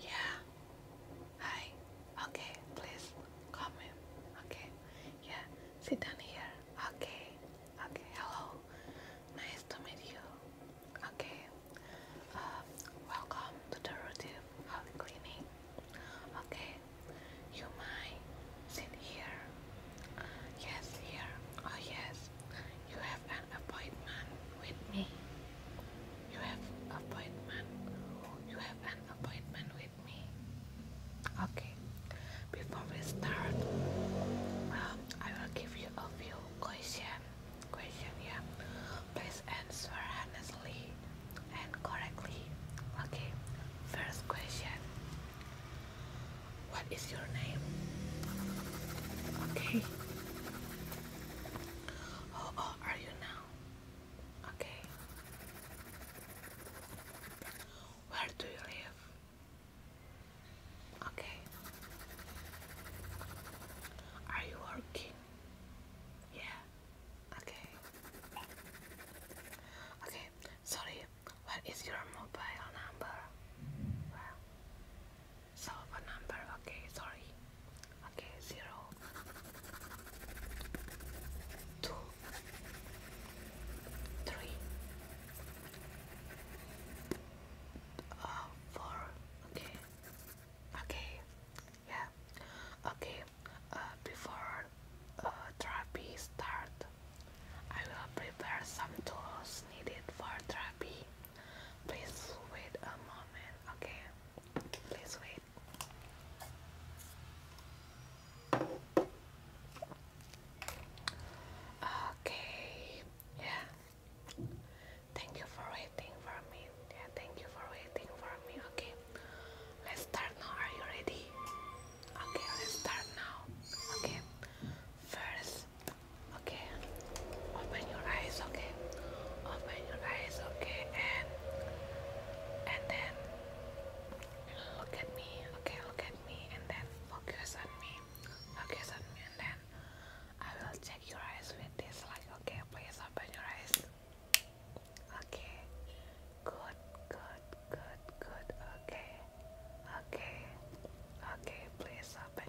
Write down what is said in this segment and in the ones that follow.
Yeah. Hi. Okay, please come in. Okay. Yeah. Sit down here. Okay. Okay. Hello. Nice to meet you. Okay. Uh, welcome to the routine of the cleaning. Okay. You mind sit here? Uh, yes, here. Oh yes. You have appointment with me. You have appointment. You have an appointment with me. Okay. Before we start, um, I will give you a few question. Question, yeah. Please answer honestly and correctly. Okay. First question. What is your name? Okay. How old are you now? Okay. Where do you live? Okay. Are you working? Yeah. Okay. Okay. Sorry. What is your mobile number? Well, solve a number. Okay, sorry. Okay, zero, two, three, uh, four. Okay, okay, yeah. Okay, uh, before uh, therapy start, I will prepare some tools needed for therapy. Please wait a moment, okay? Please wait. Okay, yeah. Thank you for waiting for me. Yeah, thank you for waiting for me. Okay, let's start now. Are you ready? Okay, let's start now. Okay, first Okay, open your eyes. Okay, open your eyes. Okay, and and then look at me. Okay, look at me, and then focus on me. Focus on me, and then I will check your eyes with this. Like, okay, please open your eyes. Okay, good, good, good, good. Okay, okay, okay. Please open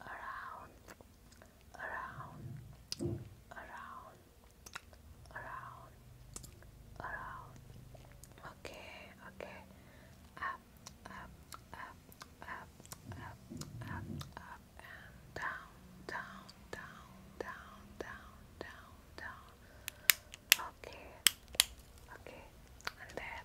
around, around, around, around, around. Okay, okay. Up, up, up, up, up, up, up, and down, down, down, down, down, down, down. Okay, okay, and then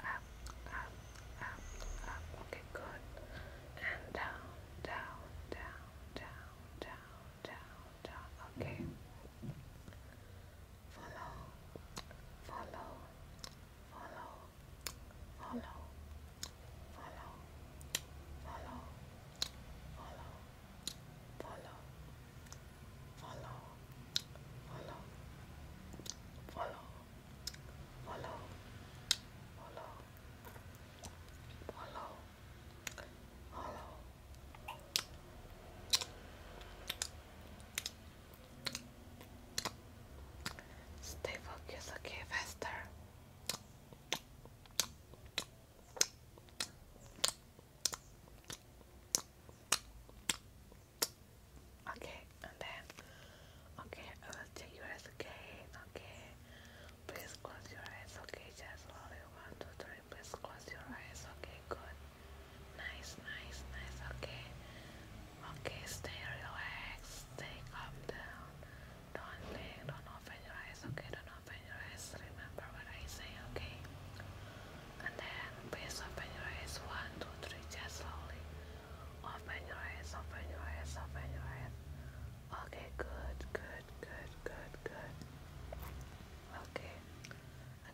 up, up, up, up. Okay, good. And down, down, down, down, down, down, down. Okay. Follow, follow, follow, follow, follow, follow, follow, follow, follow, follow, follow follow, follow, follow, follow. Stay focused, okay, faster. Okay, and then, okay, I will check your eyes again, okay? Please close your eyes, okay? Just slowly, one, two, three, please close your eyes, okay? Good. Nice, nice, nice, okay? Okay, stay relaxed, stay calm down. Don't blink, don't open your eyes, okay? Don't open your eyes, remember what I say, okay? And then, please open your eyes, one, two, three, just slowly. Open your eyes, open your eyes, open your eyes. Okay, good, good, good, good, good. Okay.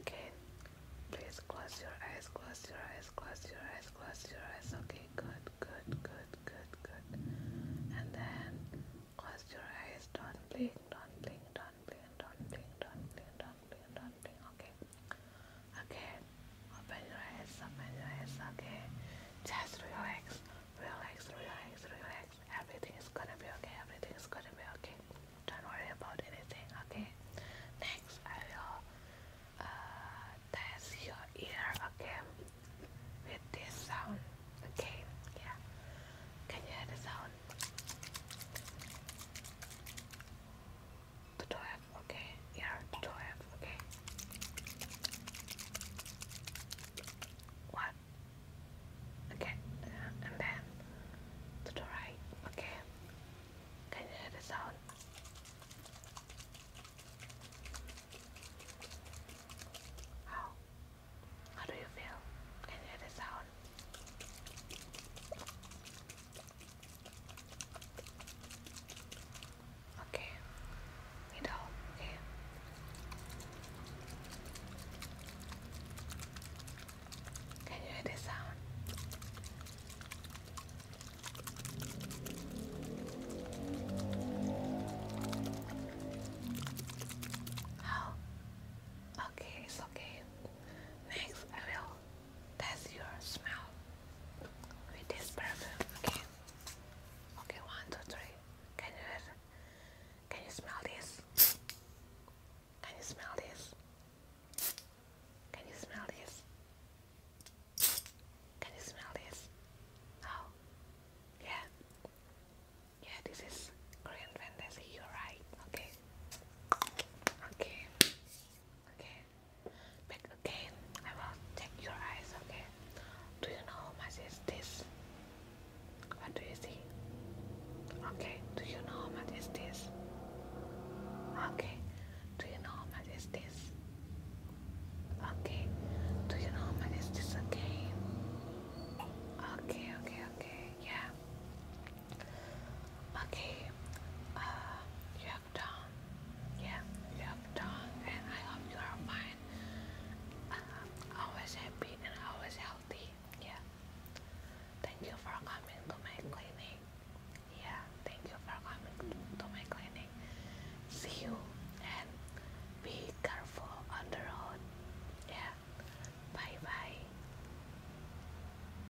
Again, please close your eyes, close your eyes, close your eyes, close your eyes. Okay, good, good, good, good, good. And then close your eyes, don't blink, don't blink, don't blink, don't blink, don't blink, don't blink. Don't blink. Okay. Okay. Open your eyes. Open your eyes. Okay. Just relax. Relax. Relax. Relax. Everything is gonna be okay. Everything is gonna be okay. Don't worry about anything. Okay. Next, I will uh, test your ear. again With this sound. Okay. Yeah. Can you hear the sound? the 12, okay, yeah, the 12, okay. What? Okay, uh, and then to the right, okay. Can you hear the sound? How? How do you feel? Can you hear the sound? Okay. Need help. Can you hear this sound? Oh. Okay, it's okay. Next, I will that's your smell with this perfume. Okay. Okay. One, two, three. Can you hear? Can you smell this? Can you smell this? Can you smell this? Can you smell this? Oh, yeah, yeah. This is Korean fantasy. You're right. Okay, okay, okay okay? again, I will check your eyes, okay? Do you know how much is this? What do you see? Okay, do you know how much is this? Okay, do you know how much is this? Okay, do you know how much is this again? Okay, okay, okay, yeah. Okay, uh, you Yeah, you have and I hope you are fine. Uh, always happy and always healthy. Yeah. Thank you for coming to my clinic. Yeah, thank you for coming to my clinic. See you and be careful on the road. Yeah. Bye bye.